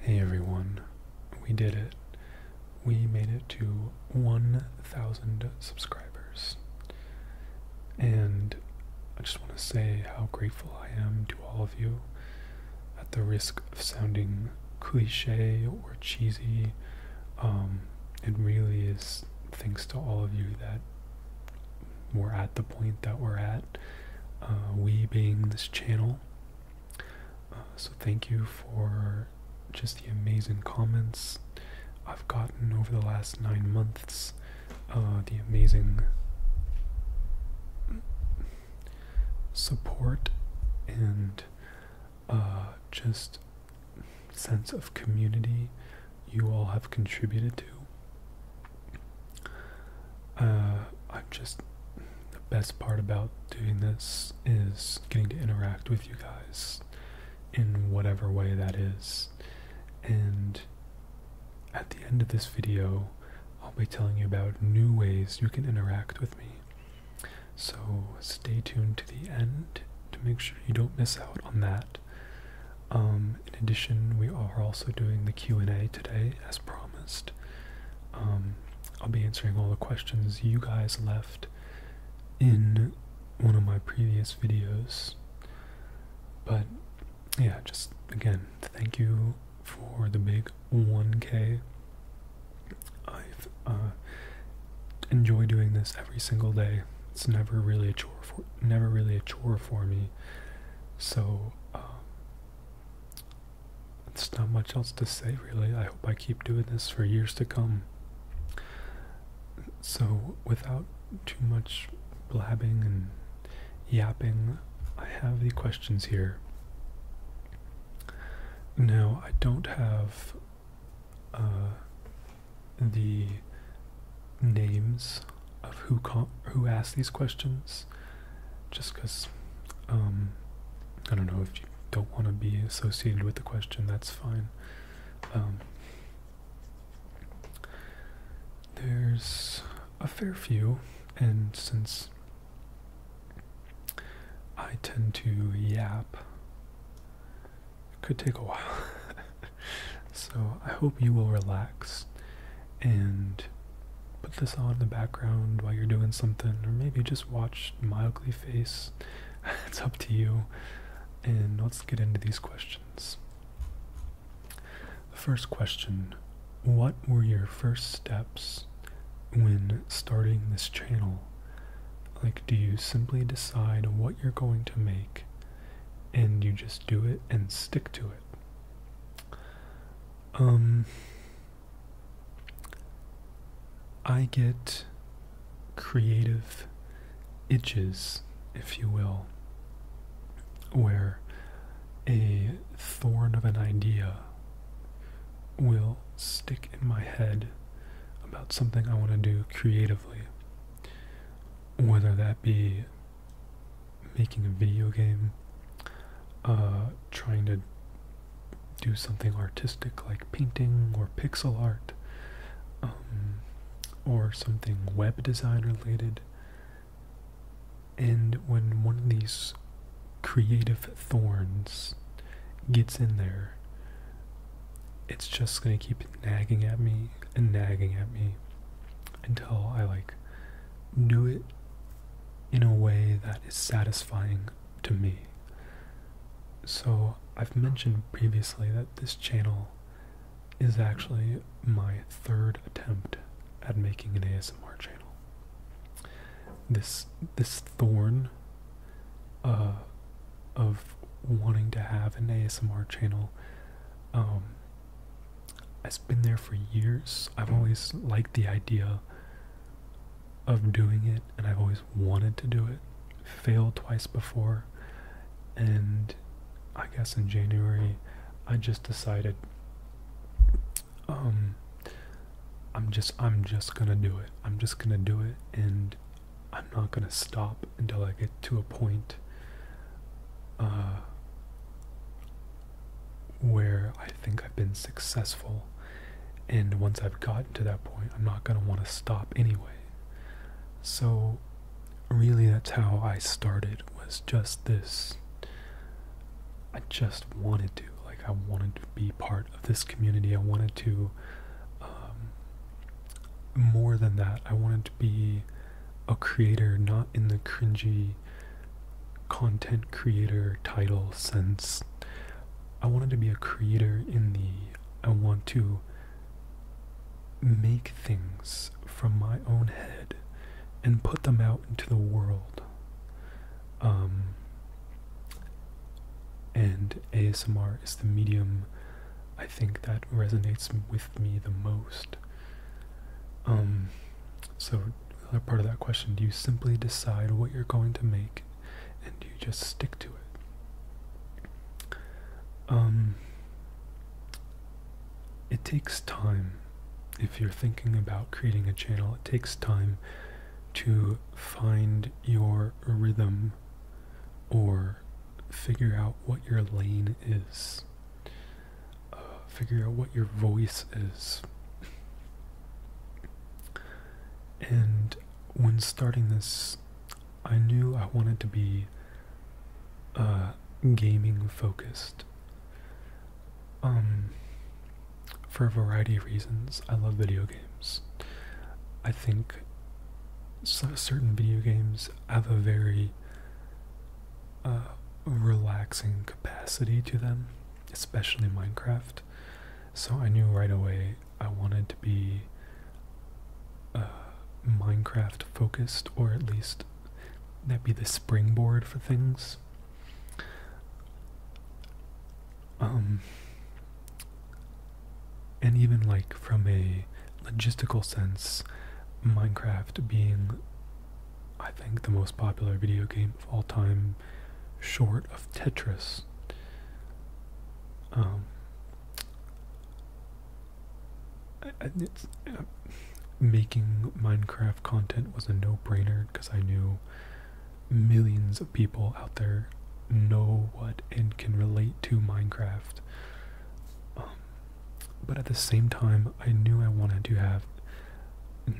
Hey everyone, we did it. We made it to 1,000 subscribers. And I just want to say how grateful I am to all of you. At the risk of sounding cliche or cheesy, um, it really is thanks to all of you that we're at the point that we're at. Uh, we being this channel. Uh, so, thank you for just the amazing comments I've gotten over the last nine months. Uh, the amazing support and just sense of community you all have contributed to. Uh, I'm just the best part about doing this is getting to interact with you guys in whatever way that is. And at the end of this video, I'll be telling you about new ways you can interact with me. So stay tuned to the end to make sure you don't miss out on that. Um, in addition, we are also doing the Q&A today as promised. Um, I'll be answering all the questions you guys left in one of my previous videos. But yeah, just again, thank you for the big 1K. I've uh, doing this every single day. It's never really a chore for never really a chore for me. So um, it's not much else to say, really. I hope I keep doing this for years to come. So, without too much blabbing and yapping, I have the questions here. Now, I don't have uh, the names of who who asked these questions, just because um, I don't know if you don't want to be associated with the question, that's fine. Um, there's a fair few, and since I tend to yap, it could take a while. so I hope you will relax and put this on in the background while you're doing something, or maybe just watch mildly face. it's up to you. And let's get into these questions. The first question What were your first steps when starting this channel? Like, do you simply decide what you're going to make and you just do it and stick to it? um I get creative itches, if you will, where a thorn of an idea will stick in my head about something I want to do creatively, whether that be making a video game, uh, trying to do something artistic like painting or pixel art, um, or something web design related. And when one of these creative thorns gets in there, it's just gonna keep nagging at me and nagging at me until I like do it in a way that is satisfying to me. So, I've mentioned previously that this channel is actually my third attempt at making an ASMR channel. This this thorn uh, of wanting to have an ASMR channel um, it's been there for years. I've always liked the idea of doing it and I've always wanted to do it. Failed twice before, and I guess in January I just decided um I'm just I'm just gonna do it. I'm just gonna do it and I'm not gonna stop until I get to a point uh, where I think I've been successful. And once I've gotten to that point, I'm not going to want to stop anyway. So, really, that's how I started was just this. I just wanted to. Like, I wanted to be part of this community. I wanted to. Um, more than that, I wanted to be a creator, not in the cringy content creator title since I wanted to be a creator in the I want to make things from my own head and put them out into the world. Um, and ASMR is the medium I think that resonates with me the most. Um, so other part of that question do you simply decide what you're going to make and you just stick to it um, it takes time if you're thinking about creating a channel it takes time to find your rhythm or figure out what your lane is figure out what your voice is. And when starting this, I knew I wanted to be uh, gaming focused. Um, for a variety of reasons, I love video games. I think certain video games have a very uh, relaxing capacity to them especially Minecraft. So I knew right away I wanted to be uh, Minecraft focused, or at least that be the springboard for things. Um, and even like from a logistical sense, Minecraft being I think the most popular video game of all time, short of Tetris. Um, uh, making Minecraft content was a no-brainer because I knew millions of people out there know what and can relate to Minecraft. Um, but at the same time, I knew I wanted to have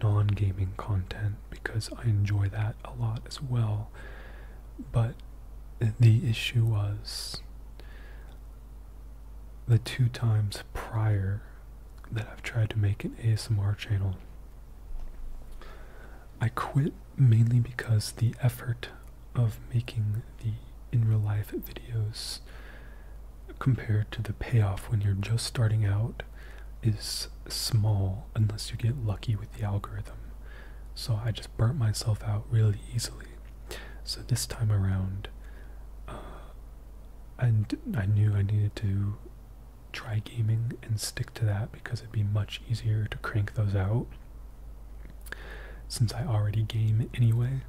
non gaming content because I enjoy that a lot as well. But the issue was the two times prior that I've tried to make an ASMR channel, I quit mainly because the effort of making the in real life videos compared to the payoff when you're just starting out is small unless you get lucky with the algorithm. So I just burnt myself out really easily. So this time around, uh, I knew I needed to try gaming and stick to that because it'd be much easier to crank those out since I already game anyway.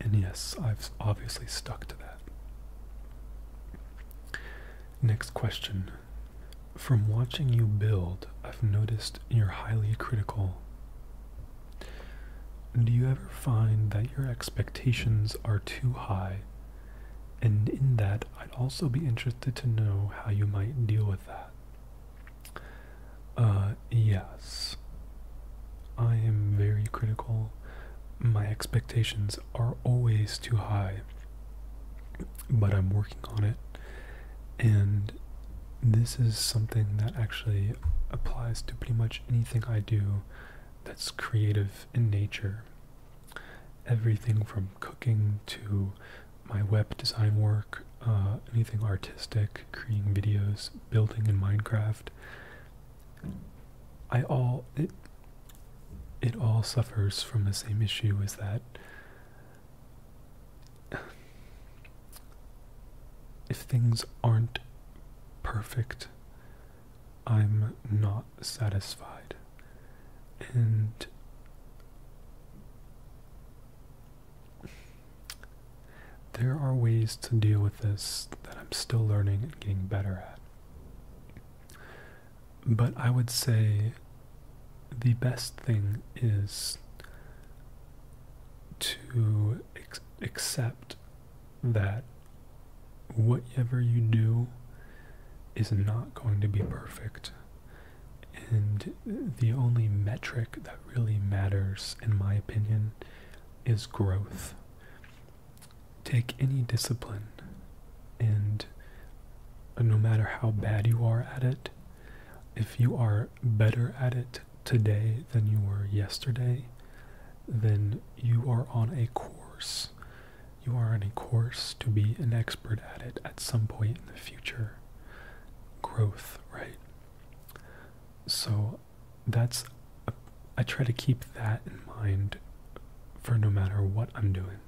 And yes, I've obviously stuck to that. Next question. From watching you build, I've noticed you're highly critical. Do you ever find that your expectations are too high? And in that, I'd also be interested to know how you might deal with that. Uh, yes. I am very critical. My expectations are always too high, but I'm working on it. And this is something that actually applies to pretty much anything I do that's creative in nature. Everything from cooking to my web design work, uh, anything artistic, creating videos, building in Minecraft, I all it it all suffers from the same issue as that if things aren't perfect, I'm not satisfied. And there are ways to deal with this that I'm still learning and getting better at. But I would say the best thing is to accept that whatever you do is not going to be perfect. And the only metric that really matters, in my opinion, is growth take any discipline and no matter how bad you are at it, if you are better at it today than you were yesterday, then you are on a course. You are on a course to be an expert at it at some point in the future. Growth, right? So that's I try to keep that in mind for no matter what I'm doing.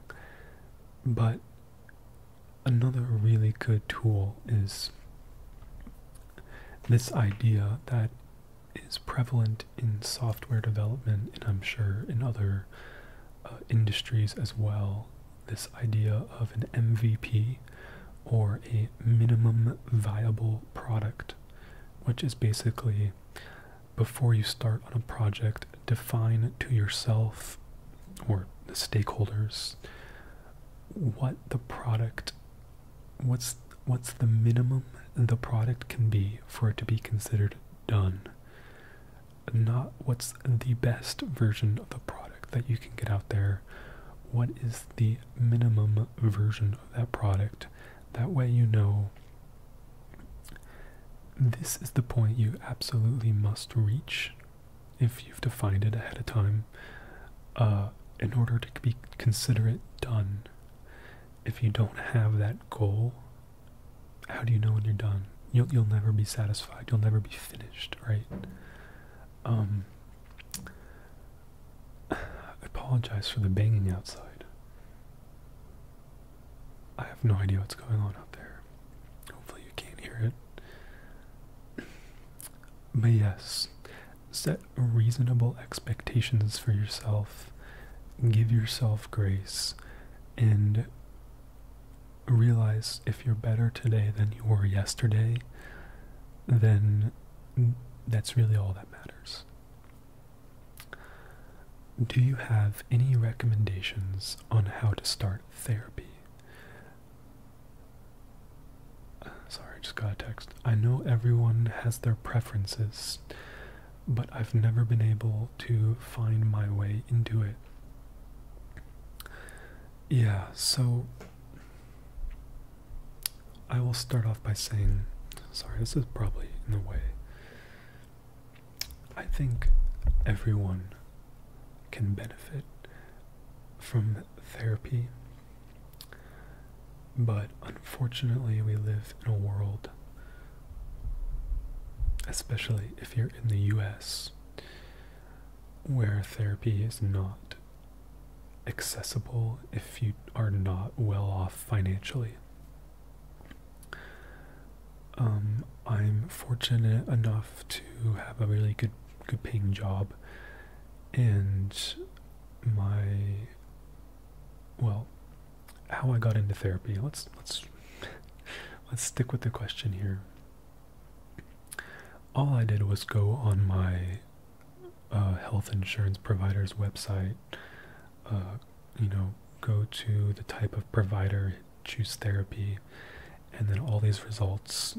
But another really good tool is this idea that is prevalent in software development and I'm sure in other uh, industries as well. This idea of an MVP or a minimum viable product, which is basically before you start on a project, define to yourself or the stakeholders what the product what's what's the minimum the product can be for it to be considered done not what's the best version of the product that you can get out there what is the minimum version of that product that way you know this is the point you absolutely must reach if you've defined it ahead of time uh, in order to be consider it done. If you don't have that goal, how do you know when you're done? You'll, you'll never be satisfied. You'll never be finished, right? Um, I apologize for the banging outside. I have no idea what's going on out there. Hopefully, you can't hear it. But yes, set reasonable expectations for yourself, give yourself grace, and realize if you're better today than you were yesterday, then that's really all that matters. Do you have any recommendations on how to start therapy? sorry, I just got a text. I know everyone has their preferences, but I've never been able to find my way into it. Yeah, so I will start off by saying, sorry, this is probably in the way. I think everyone can benefit from therapy, but unfortunately, we live in a world, especially if you're in the US, where therapy is not accessible if you are not well off financially. Um, I'm fortunate enough to have a really good, good paying job, and my well, how I got into therapy. Let's let's let's stick with the question here. All I did was go on my uh, health insurance provider's website uh, you know, go to the type of provider, choose therapy, and then all these results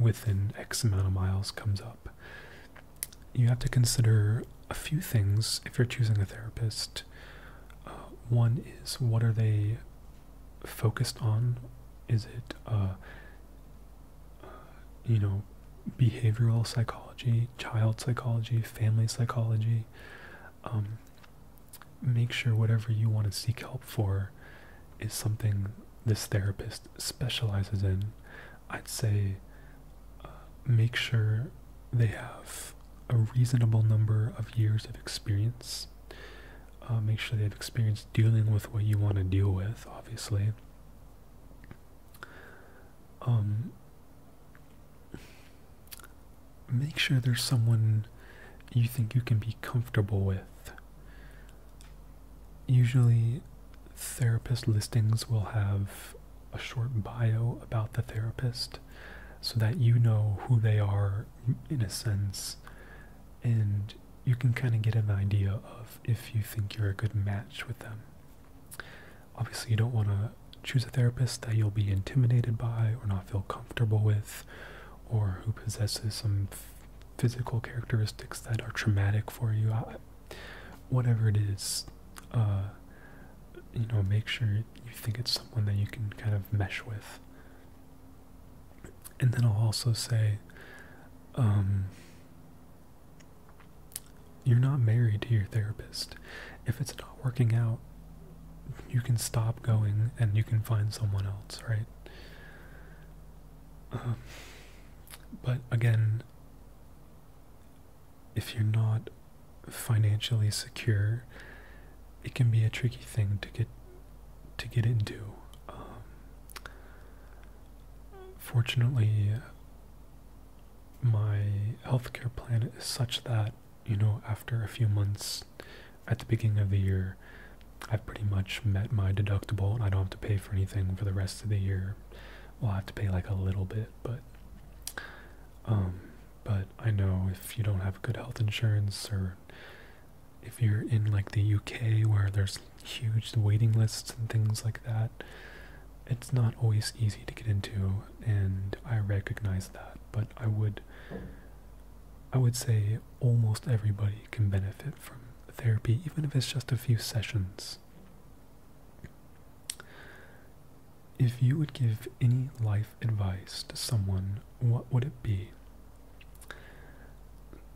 within X amount of miles comes up. You have to consider a few things if you're choosing a therapist. Uh, one is what are they focused on? Is it, uh, you know, behavioral psychology, child psychology, family psychology? Um, make sure whatever you want to seek help for is something this therapist specializes in i'd say uh, make sure they have a reasonable number of years of experience uh, make sure they've experience dealing with what you want to deal with obviously um, make sure there's someone you think you can be comfortable with. Usually, therapist listings will have a short bio about the therapist so that you know who they are in a sense and you can kind of get an idea of if you think you're a good match with them. Obviously, you don't want to choose a therapist that you'll be intimidated by or not feel comfortable with, or who possesses some physical characteristics that are traumatic for you. whatever it is, uh, you know, make sure you think it's someone that you can kind of mesh with. And then I'll also say, um, you're not married to your therapist. If it's not working out, you can stop going and you can find someone else, right? Um, but again, if you're not financially secure, it can be a tricky thing to get to get into. Um, fortunately, my health care plan is such that you know, after a few months at the beginning of the year, I've pretty much met my deductible and I don't have to pay for anything for the rest of the year. Well, I have to pay like a little bit, but um but I know if you don't have good health insurance or if you're in like the UK where there's huge waiting lists and things like that, it's not always easy to get into and I recognize that, but I would I would say almost everybody can benefit from therapy even if it's just a few sessions. If you would give any life advice to someone, what would it be?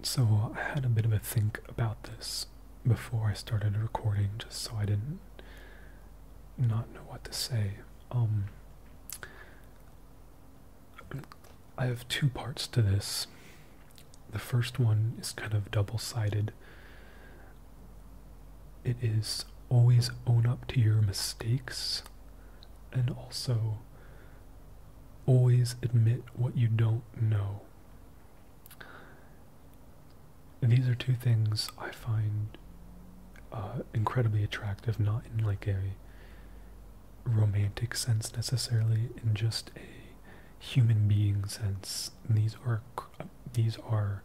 So, I had a bit of a think about this before I started recording just so I didn't not know what to say. Um, I have two parts to this. The first one is kind of double sided. It is always own up to your mistakes and also always admit what you don't know these are two things I find uh, incredibly attractive, not in like a romantic sense necessarily, in just a human being sense. These are these are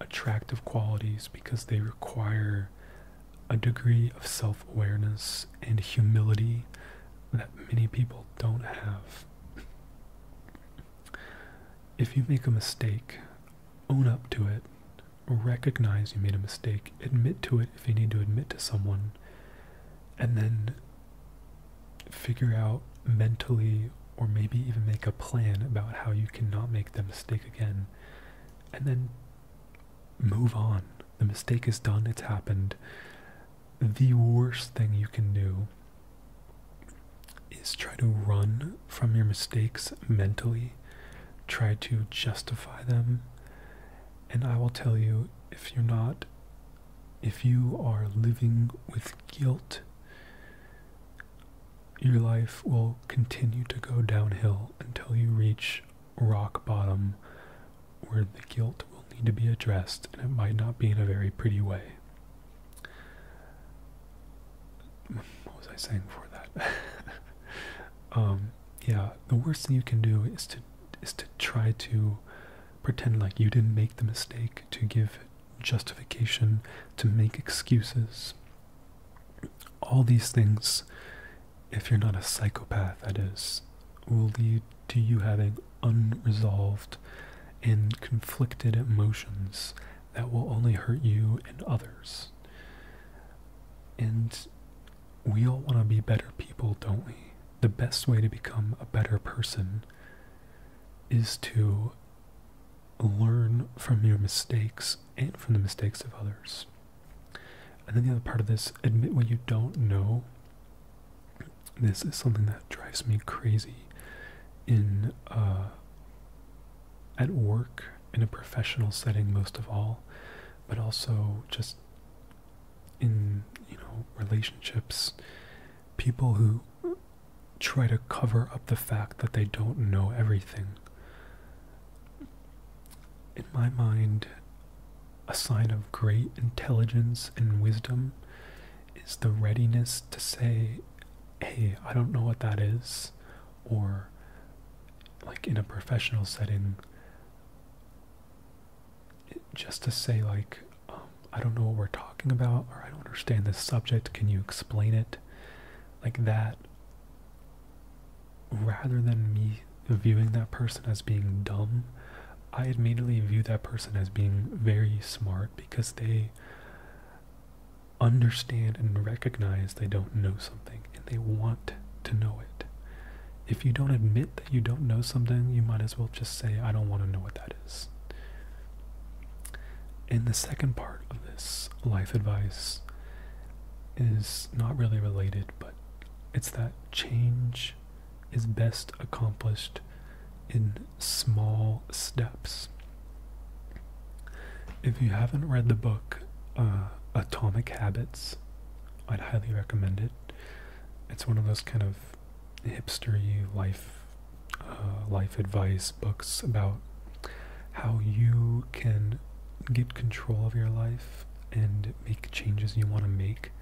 attractive qualities because they require a degree of self-awareness and humility that many people don't have. If you make a mistake, own up to it, recognize you made a mistake, admit to it if you need to admit to someone, and then figure out mentally or maybe even make a plan about how you cannot make the mistake again, and then move on. The mistake is done, it's happened. The worst thing you can do is try to run from your mistakes mentally, try to justify them. And I will tell you if you're not, if you are living with guilt, your life will continue to go downhill until you reach rock bottom where the guilt will need to be addressed and it might not be in a very pretty way what was I saying for that? Um, yeah, the worst thing you can do is to is to try to pretend like you didn't make the mistake, to give justification, to make excuses. All these things, if you're not a psychopath, that is, will lead to you having unresolved and conflicted emotions that will only hurt you and others. And we all want to be better people, don't we? The best way to become a better person is to learn from your mistakes and from the mistakes of others. And then the other part of this, admit what you don't know. This is something that drives me crazy in uh, at work in a professional setting most of all, but also just in you know relationships, people who try to cover up the fact that they don't know everything. In my mind, a sign of great intelligence and wisdom is the readiness to say, Hey, I don't know what that is, or like in a professional setting just to say like um, i don't know what we're talking about or i don't understand this subject can you explain it like that rather than me viewing that person as being dumb i immediately view that person as being very smart because they understand and recognize they don't know something and they want to know it. If you don't admit that you don't know something, you might as well just say, I don't want to know what that is. And the second part of this life advice is not really related, but it's that change is best accomplished in small steps. If you haven't read the book uh, Atomic Habits, I'd highly recommend it. It's one of those kind of hipstery life uh, life advice books about how you can get control of your life and make changes you want to make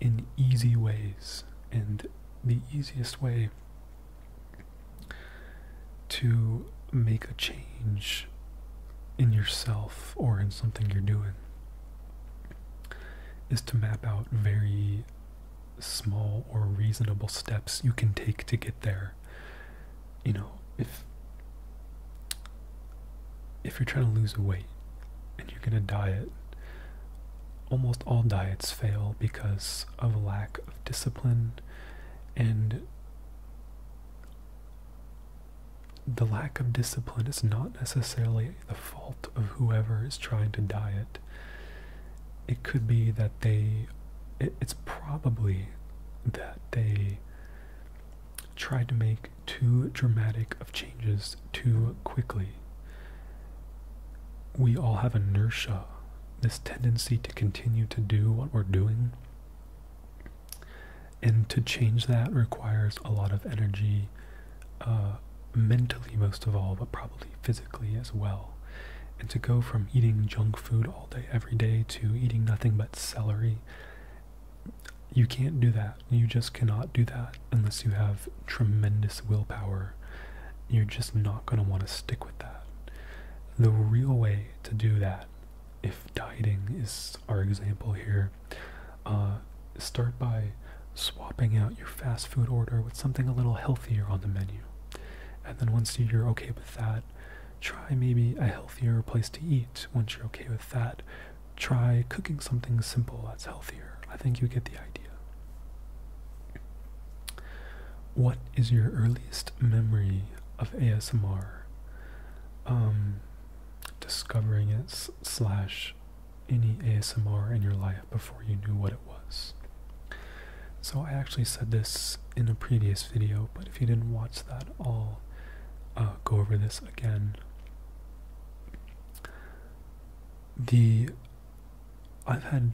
in easy ways. And the easiest way to make a change in yourself or in something you're doing is to map out very small or reasonable steps you can take to get there. You know, if if you're trying to lose weight and you're gonna diet, almost all diets fail because of lack of discipline and the lack of discipline is not necessarily the fault of whoever is trying to diet. It could be that they, it's probably that they tried to make too dramatic of changes too quickly. We all have inertia, this tendency to continue to do what we're doing and to change that requires a lot of energy uh, mentally most of all but probably physically as well and to go from eating junk food all day every day to eating nothing but celery you can't do that you just cannot do that unless you have tremendous willpower you're just not going to want to stick with that the real way to do that if dieting is our example here, uh, start by swapping out your fast food order with something a little healthier on the menu. And then once you're okay with that, try maybe a healthier place to eat. Once you're okay with that, try cooking something simple that's healthier. I think you get the idea. What is your earliest memory of ASMR, um, discovering it slash any ASMR in your life before you knew what it was. So I actually said this in a previous video, but if you didn't watch that, I'll uh, go over this again. The I've had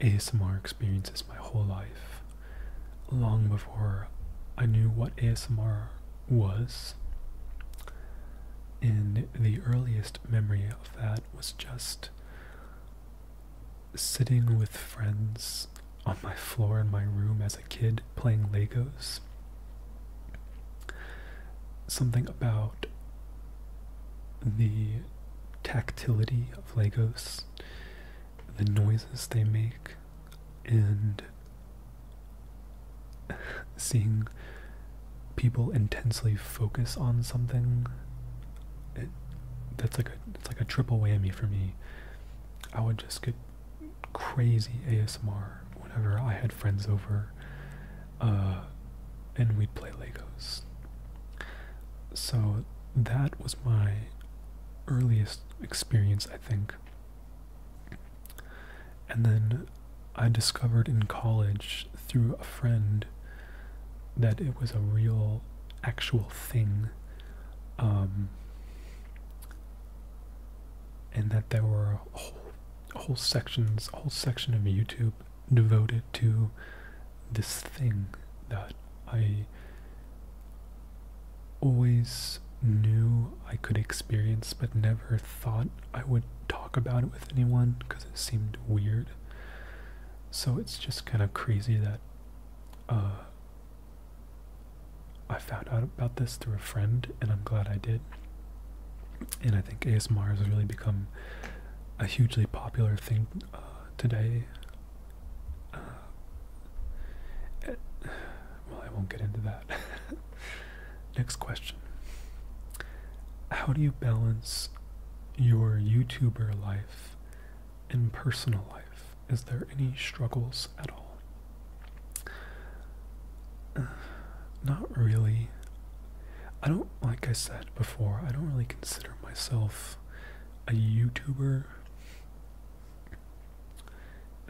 ASMR experiences my whole life long before I knew what ASMR was. in the earliest memory of that was just sitting with friends on my floor in my room as a kid playing Legos. Something about the tactility of Legos the noises they make and seeing people intensely focus on something it, that's like a it's like a triple whammy for me i would just get crazy asmr whenever i had friends over uh, and we'd play legos so that was my earliest experience, I think. And then I discovered in college through a friend that it was a real, actual thing. Um, and that there were whole, whole sections, whole section of YouTube devoted to this thing that I always knew I could experience, but never thought I would talk about it with anyone because it seemed weird. So it's just kind of crazy that uh, I found out about this through a friend, and I'm glad I did. And I think ASMR has really become a hugely popular thing uh, today. Uh, well, I won't get into that. Next question How do you balance your YouTuber life and personal life? Is there any struggles at all? Uh, not really. I don't, like I said before, I don't really consider myself a YouTuber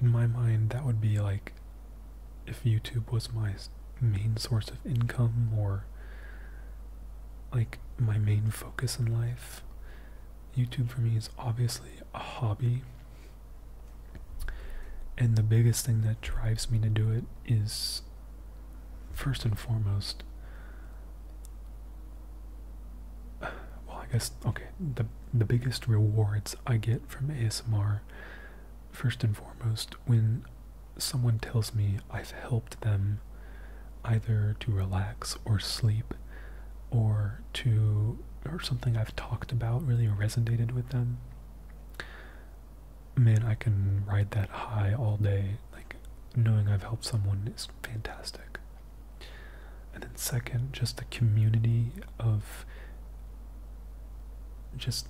in my mind that would be like if youtube was my main source of income or like my main focus in life youtube for me is obviously a hobby and the biggest thing that drives me to do it is first and foremost well I guess okay the the biggest rewards I get from ASMR first and foremost when someone tells me I've helped them either to relax or sleep or to or something I've talked about really resonated with them man I can ride that high all day like knowing I've helped someone is fantastic and then, second, just the community of just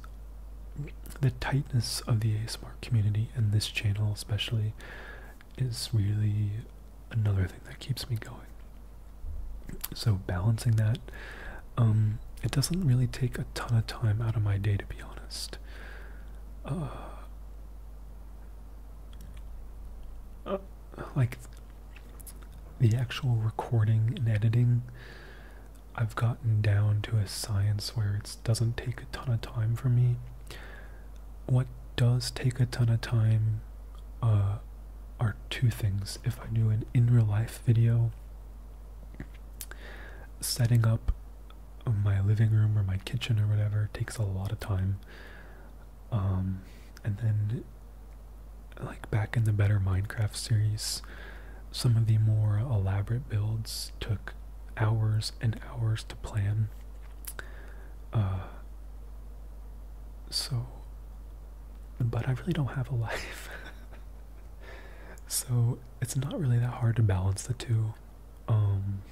the tightness of the ASMR community and this channel, especially, is really another thing that keeps me going. So, balancing that, um, it doesn't really take a ton of time out of my day, to be honest. Uh, oh, like the actual recording and editing I've gotten down to a science where it doesn't take a ton of time for me. What does take a ton of time uh, are two things. If I do an in real life video, setting up my living room or my kitchen or whatever takes a lot of time. Um, and then, like back in the Better Minecraft series, some of the more elaborate builds took hours and hours to plan. Uh, so, but I really don't have a life. so it's not really that hard to balance the two. Um,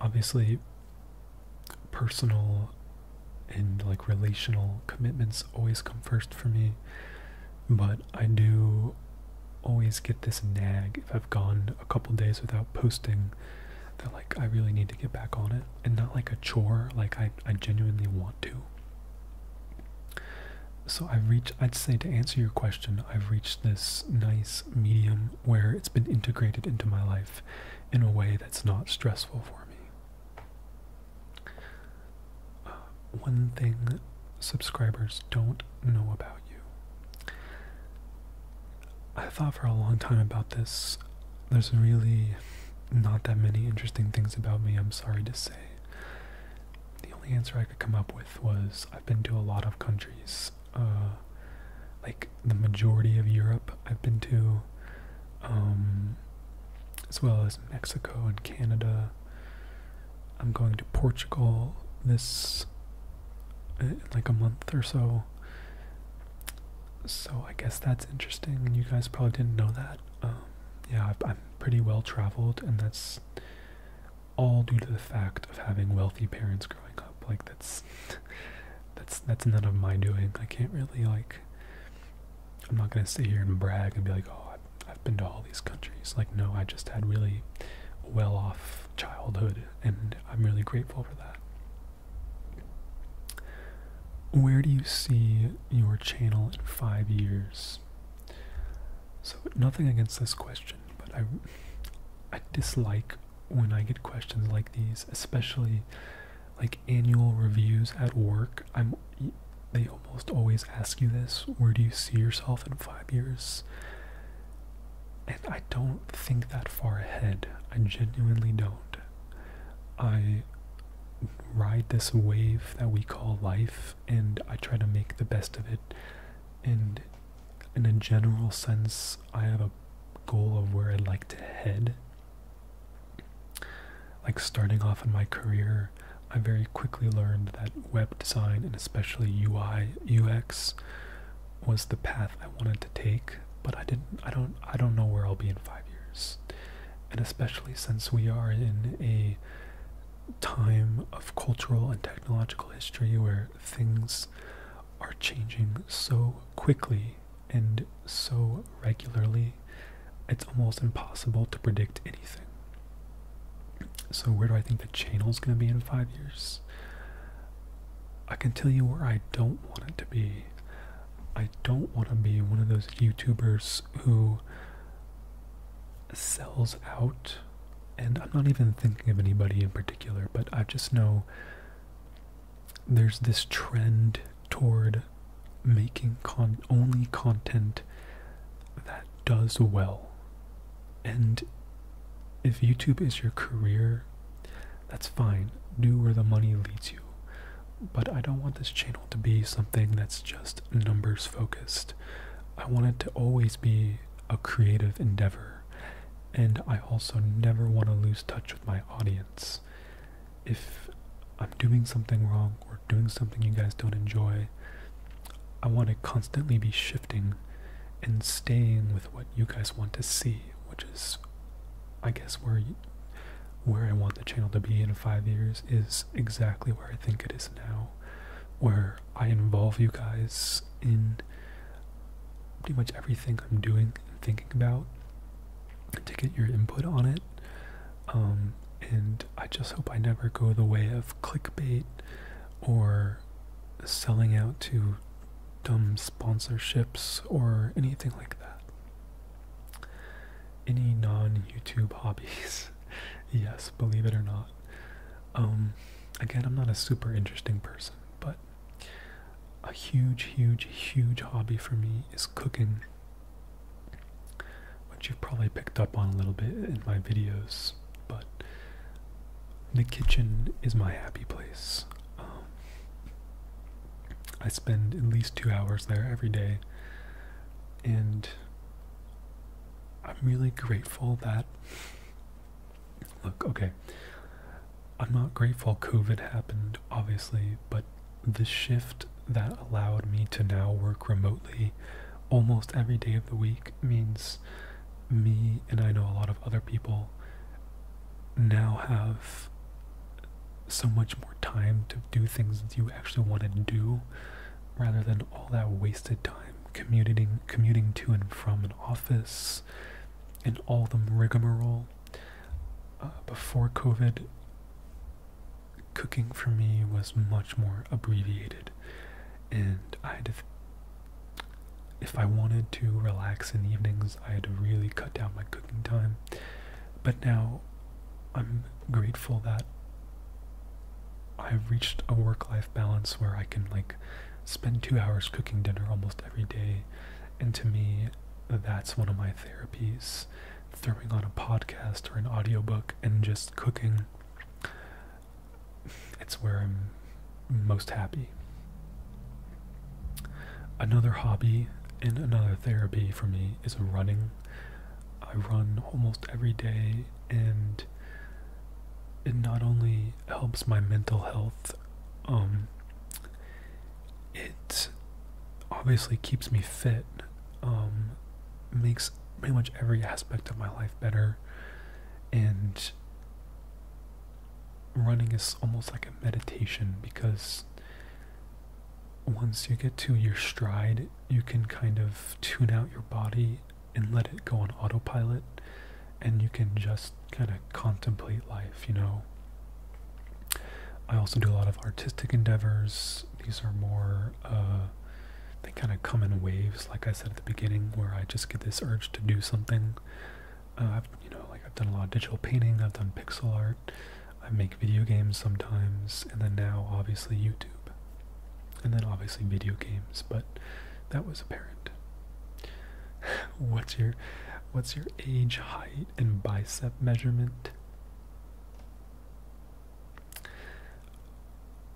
obviously, personal and like relational commitments always come first for me, but I do always get this nag if I've gone a couple days without posting that like I really need to get back on it and not like a chore, like I, I genuinely want to. So I've reached, I'd say to answer your question, I've reached this nice medium where it's been integrated into my life in a way that's not stressful for me. Uh, one thing subscribers don't know about you. I thought for a long time about this. There's really not that many interesting things about me, I'm sorry to say. The only answer I could come up with was I've been to a lot of countries uh, like the majority of Europe I've been to, um, as well as Mexico and Canada. I'm going to Portugal this in uh, like a month or so. So I guess that's interesting, you guys probably didn't know that. Um, yeah, I'm pretty well traveled, and that's all due to the fact of having wealthy parents growing up. Like that's that's that's none of my doing. I can't really like. I'm not gonna sit here and brag and be like, oh, I've, been to all these countries. Like, no, I just had really well-off childhood, and I'm really grateful for that. Where do you see your channel in five years? So nothing against this question, but I I dislike when I get questions like these, especially like annual reviews at work, I'm they almost always ask you this, where do you see yourself in 5 years? And I don't think that far ahead. I genuinely don't. I ride this wave that we call life and I try to make the best of it. And in a general sense, I have a goal of where I'd like to head like starting off in my career, I very quickly learned that web design and especially UI UX was the path I wanted to take, but I didn't I don't I don't know where I'll be in 5 years. And especially since we are in a time of cultural and technological history where things are changing so quickly and so regularly, it's almost impossible to predict anything. So, where do I think the channel's going to be in five years? I can tell you where I don't want it to be. I don't want to be one of those YouTubers who sells out. And I'm not even thinking of anybody in particular, but I just know there's this trend toward making only content that does well. And if YouTube is your career, that's fine. Do where the money leads you. But I don't want this channel to be something that's just numbers focused. I want it to always be a creative endeavor. And I also never want to lose touch with my audience if I'm doing something wrong or doing something you guys don't enjoy, I want to constantly be shifting and staying with what you guys want to see, which is, I guess, where where I want the channel to be in five years is exactly where I think it is now, where I involve you guys in pretty much everything I'm doing and thinking about, to get your input on it. Um, and I just hope I never go the way of clickbait or selling out to dumb sponsorships or anything like that. Any non YouTube hobbies. yes, believe it or not. Um, again, I'm not a super interesting person, but a huge, huge, huge hobby for me is cooking, which you've probably picked up on a little bit in my videos, but the kitchen is my happy place. Um, I spend at least two hours there every day, and I'm really grateful that. Look, okay, I'm not grateful COVID happened, obviously, but the shift that allowed me to now work remotely almost every day of the week means me and I know a lot of other people now have so much more time to do things that you actually want to do rather than all that wasted time commuting commuting to and from an office and all the rigmarole uh, before COVID, cooking for me was much more abbreviated, and I had If I wanted to relax in evenings, I had to really cut down my cooking time. But now I'm grateful that I've reached a work life balance where I can, like, spend two hours cooking dinner almost every day. And to me, that's one of my therapies. Throwing on a podcast or an audiobook and just cooking. It's where I'm most happy. Another hobby and another therapy for me is running. I run almost every day and it not only helps my mental health um, it obviously keeps me fit, um, makes pretty much every aspect of my life better, and running is almost like a meditation because once you get to your stride, you can kind of tune out your body and let it go on autopilot, and you can just kind of contemplate life, you know. I also do a lot of artistic endeavors. These are more, uh, they kind of come in waves, like I said at the beginning, where I just get this urge to do something. Uh, I've, you know, like I've done a lot of digital painting, I've done pixel art, I make video games sometimes, and then now obviously YouTube. And then obviously video games, but that was apparent. what's your what's your age, height, in bicep measurement.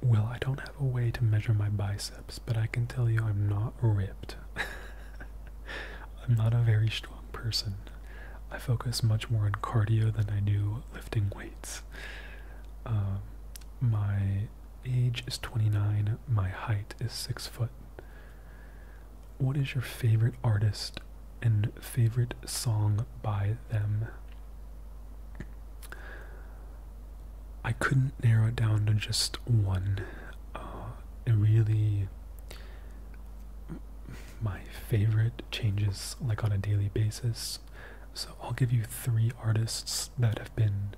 Well, I don't have a way to measure my biceps, but I can tell you I'm not ripped. I'm not a very strong person. I focus much more on cardio than I do lifting weights. Um, my age is 29, my height is 6 foot. What is your favorite artist and favorite song by them? I couldn't narrow it down to just one. Uh, really. My favorite changes like on a daily basis. So I'll give you three artists that have been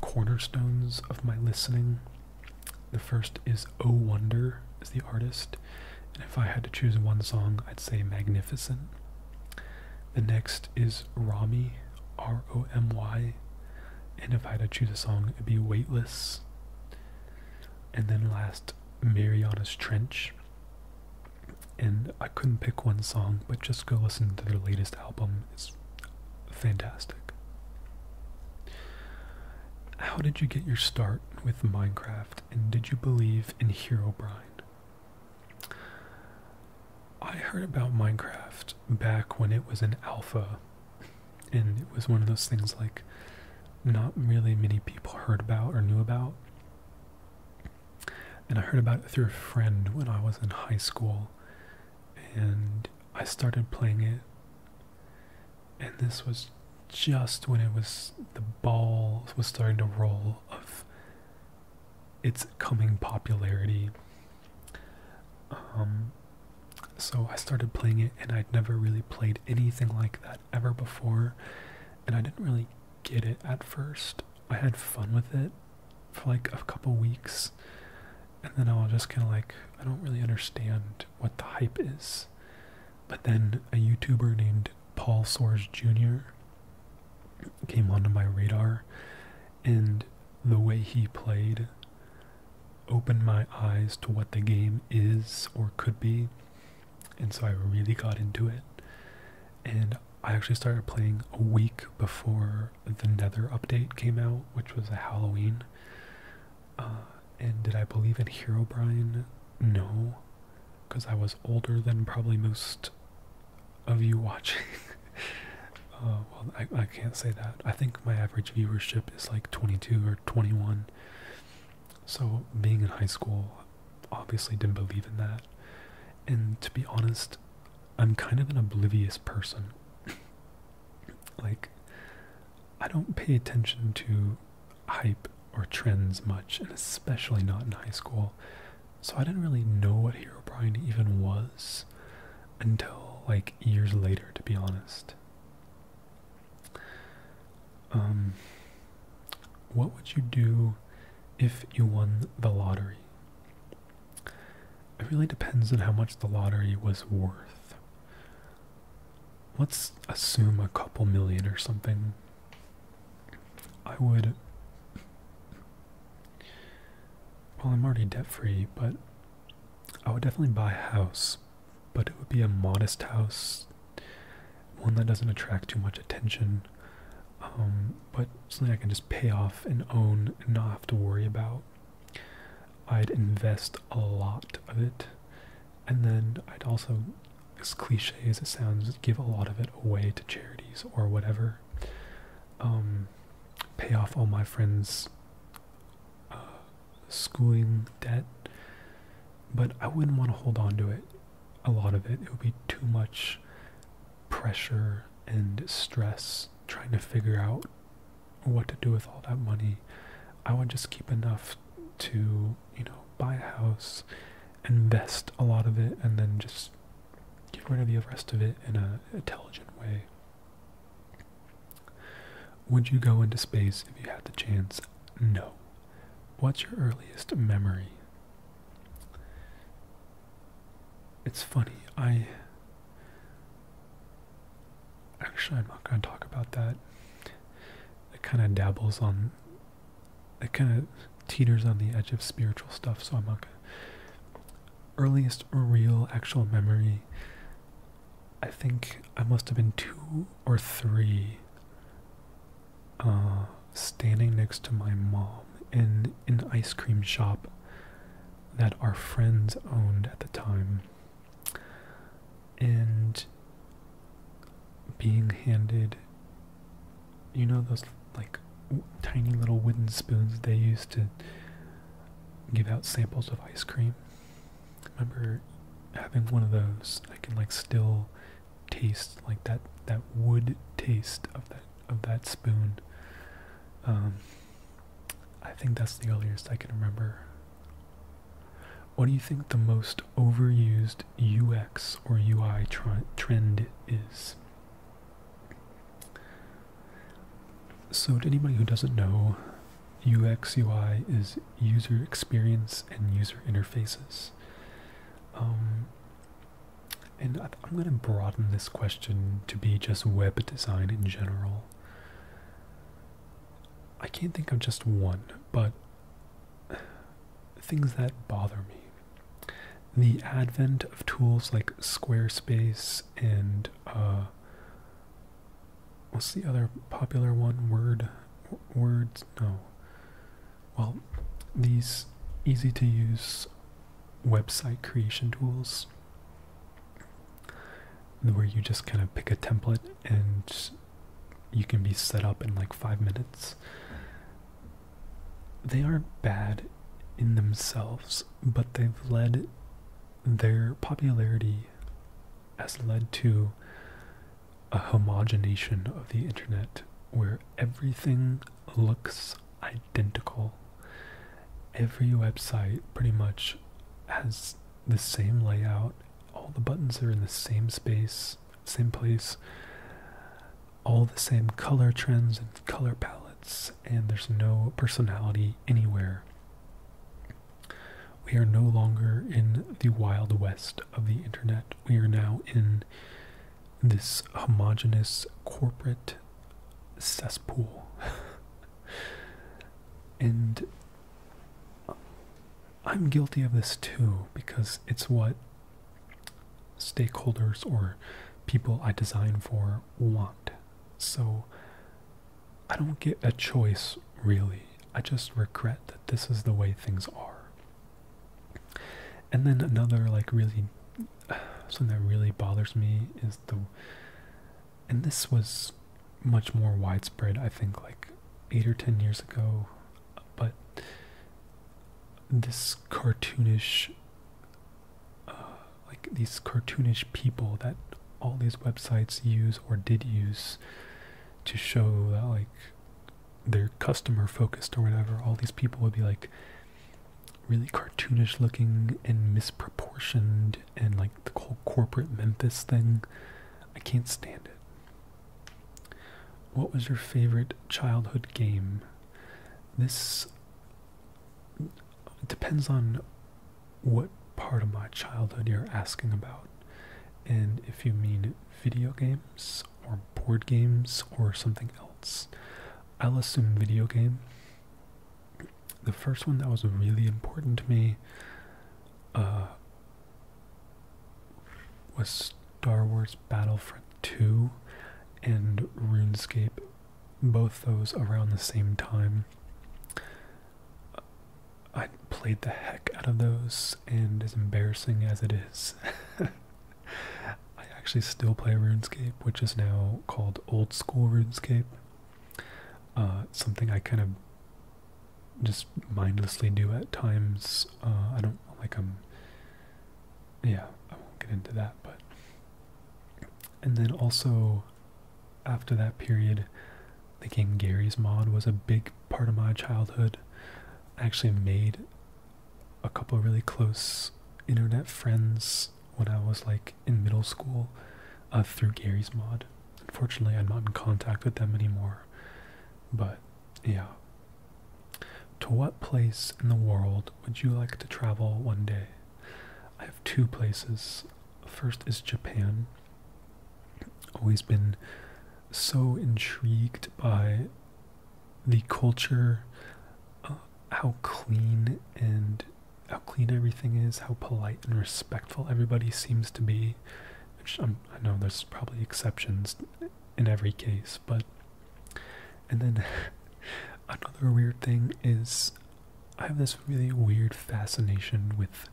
cornerstones of my listening the first is Oh Wonder, is the artist, and if I had to choose one song, I'd say Magnificent. The next is "Romy," R O M Y, and if I had to choose a song, it'd be Weightless. And then last, Mariana's Trench. And I couldn't pick one song, but just go listen to their latest album. It's fantastic. How did you get your start with Minecraft and did you believe in Hero Herobrine? I heard about Minecraft back when it was an alpha and it was one of those things like not really many people heard about or knew about. And I heard about it through a friend when I was in high school and I started playing it and this was just when it was the ball was starting to roll of its coming popularity. Um, so I started playing it, and I'd never really played anything like that ever before, and I didn't really get it at first. I had fun with it for like a couple weeks, and then I was just kind of like, I don't really understand what the hype is. But then a YouTuber named Paul Soares Jr. came onto my radar, and the way he played opened my eyes to what the game is or could be. And so I really got into it. And I actually started playing a week before the Nether update came out, which was a Halloween. Uh, and did I believe in Hero Brian? No, because I was older than probably most of you watching. Uh, well, I can't say that. I think my average viewership is like 22 or 21. So being in high school, obviously didn't believe in that. And to be honest, I'm kind of an oblivious person. like, I don't pay attention to hype or trends much, and especially not in high school. So I didn't really know what Hero Brian even was until like years later, to be honest. Um, what would you do if you won the lottery? It really depends on how much the lottery was worth let's assume a couple million or something. I would. Well, I'm already debt free, but I would definitely buy a house, but it would be a modest house, one that doesn't attract too much attention, um, but something I can just pay off and own and not have to worry about. I'd invest a lot of it, and then I'd also, as cliche as it sounds, give a lot of it away to charities or whatever. Um, pay off all my friends' uh, schooling debt, but I wouldn't want to hold on to it. A lot of it, it would be too much pressure and stress trying to figure out what to do with all that money. I would just keep enough to, you know, buy a house, invest a lot of it, and then just get rid of the rest of it in a intelligent way. Would you go into space if you had the chance? No. What's your earliest memory? It's funny. I actually, I'm not going to talk about that. It kind of dabbles on, it kind of teeters on the edge of spiritual stuff, so I'm not going to. Earliest real actual memory, I think I must have been two or three, uh, standing next to my mom in an ice cream shop that our friends owned at the time and being handed you know those like tiny little wooden spoons they used to give out samples of ice cream I remember having one of those i can like still taste like that that wood taste of that of that spoon um, i think that's the earliest i can remember what do you think the most overused UX or UI trend is? So, to anybody who doesn't know, UX UI is user experience and user interfaces. Um, and I'm going to broaden this question to be just web design in general. I can't think of just one, but things that bother me. The advent of tools like Squarespace and uh, what's the other popular one? Word, words? No. Well, these easy to use website creation tools where you just kind of pick a template and you can be set up in like five minutes. They aren't bad in themselves, but they've led their popularity has led to a homogenization of the internet where everything looks identical. Every website pretty much has the same layout. All the buttons are in the same space, same place. All the same color trends and color palettes, and there's no personality anywhere. We are no longer in the wild west of the internet. We are now in this homogenous corporate cesspool. and I'm guilty of this too because it's what stakeholders or people I design for want. So I don't get a choice really. I just regret that this is the way things are. And then another like really something that really bothers me is the and this was much more widespread, I think, like eight or ten years ago. But this cartoonish, uh, like these cartoonish people that all these websites use or did use to show that, like, they're customer focused or whatever, all these people would be like really cartoonish looking and misproportioned and like the whole corporate Memphis thing. I can't stand it. What was your favorite childhood game? This depends on what part of my childhood you're asking about, and if you mean video games or board games or something else. I'll assume video game. The first one that was really important to me uh, was Star Wars Battlefront 2 and RuneScape, both those around the same time. I played the heck out of those, and as embarrassing as it is, I actually still play RuneScape, which is now called Old School RuneScape. Uh, something I kind of just mindlessly do at times. Uh, I don't like I'm. Um, yeah, I won't get into that, but. And then also, after that period, the game Gary's Mod was a big part of my childhood. I actually made a couple really close internet friends when I was like in middle school uh, through Gary's Mod. Unfortunately, I'm not in contact with them anymore. But yeah. To what place in the world would you like to travel one day? I have two places. First is Japan. Always been so intrigued by the culture, uh, how clean and how clean everything is, how polite and respectful everybody seems to be which i know there's probably exceptions in every case, but. And then another weird thing is I have this really weird fascination with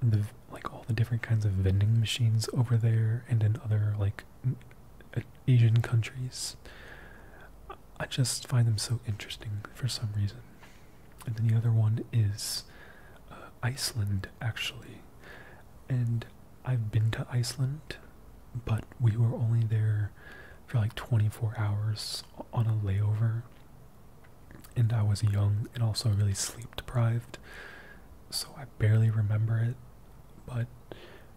the like all the different kinds of vending machines over there and in other like uh, Asian countries. I just find them so interesting for some reason and then the other one is uh, Iceland, actually. And I've been to Iceland, but we were only there for like 24 hours on a layover. And I was young and also really sleep deprived, so I barely remember it. But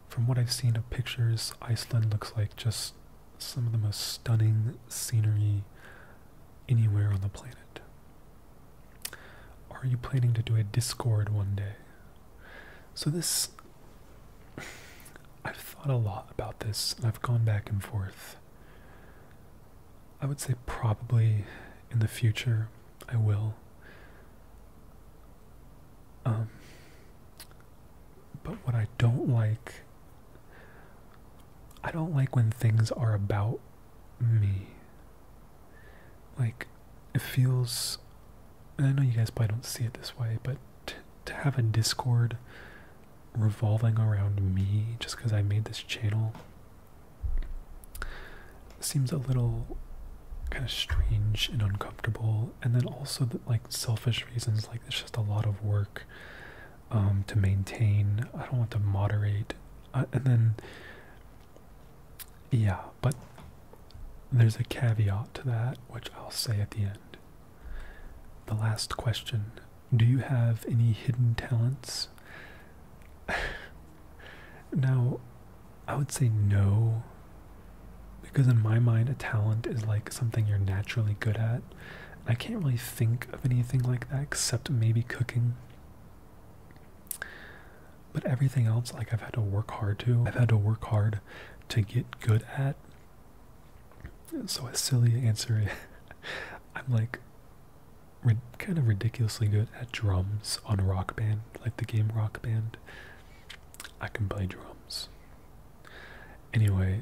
from what I've seen of pictures, Iceland looks like just some of the most stunning scenery anywhere on the planet. Are you planning to do a Discord one day? So, this. I've thought a lot about this, and I've gone back and forth. I would say probably in the future I will. Um, but what I don't like, I don't like when things are about me. Like, it feels. I know you guys probably don't see it this way, but to have a Discord revolving around me just because I made this channel seems a little kind of strange and uncomfortable and then also like selfish reasons like it's just a lot of work um, to maintain i don't want to moderate uh, and then yeah but there's a caveat to that which i'll say at the end the last question do you have any hidden talents now i would say no because in my mind a talent is like something you're naturally good at i can't really think of anything like that except maybe cooking but everything else, like I've had to work hard to, I've had to work hard to get good at. So a silly answer, I'm like kind of ridiculously good at drums on Rock Band, like the game Rock Band. I can play drums. Anyway,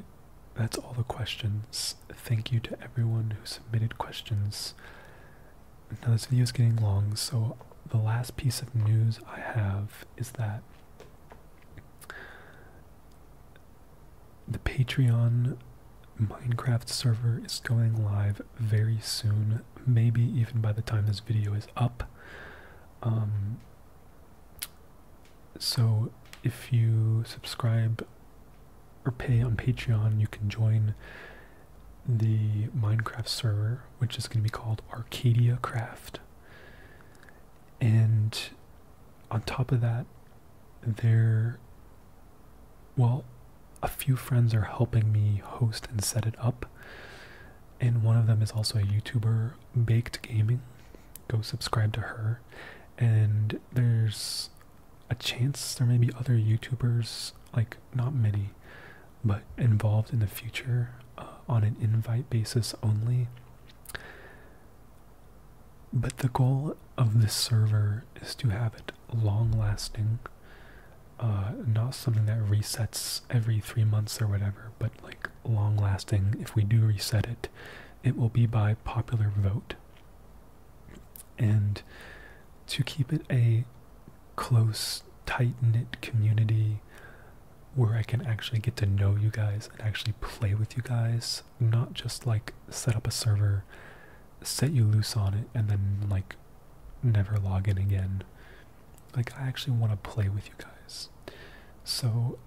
that's all the questions. Thank you to everyone who submitted questions. Now this video is getting long, so the last piece of news I have is that the Patreon Minecraft server is going live very soon, maybe even by the time this video is up. Um, so if you subscribe or pay on Patreon, you can join the Minecraft server, which is going to be called Arcadia Craft. And on top of that, there, well, a few friends are helping me host and set it up. And one of them is also a YouTuber, Baked Gaming. Go subscribe to her. And there's a chance there may be other YouTubers, like not many, but involved in the future uh, on an invite basis only. But the goal of this server is to have it long lasting, uh, not something that resets every three months or whatever, but like long lasting. If we do reset it, it will be by popular vote and to keep it a close, tight knit community where I can actually get to know you guys and actually play with you guys, not just like set up a server, set you loose on it, and then like never log in again. Like, I actually want to play with you guys. So,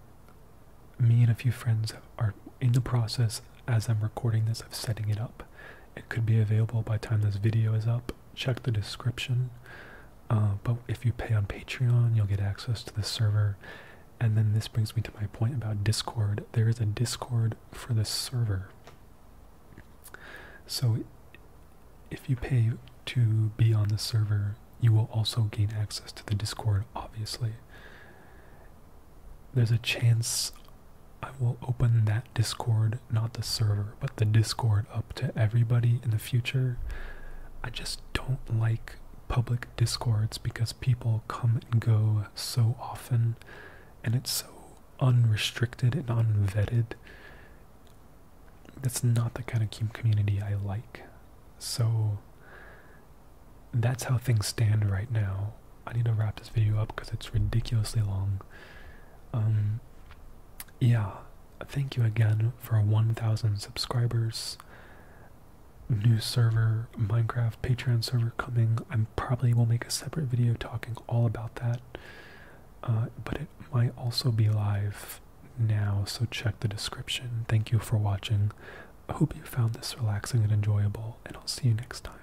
me and a few friends are in the process as I'm recording this, I'm setting it up. It could be available by time this video is up. Check the description. Uh, but if you pay on Patreon, you'll get access to the server. And then this brings me to my point about Discord. There is a Discord for the server. So if you pay to be on the server, you will also gain access to the Discord, obviously. There's a chance I will open that Discord, not the server, but the Discord up to everybody in the future. I just don't like public Discords because people come and go so often and it's so unrestricted and unvetted. That's not the kind of community I like. So that's how things stand right now. I need to wrap this video up because it's ridiculously long. Um, yeah, thank you again for 1,000 subscribers. New server, Minecraft Patreon server coming. I probably will make a separate video talking all about that. Uh, but it might also be live now, so check the description. Thank you for watching. I hope you found this relaxing and enjoyable, and I'll see you next time.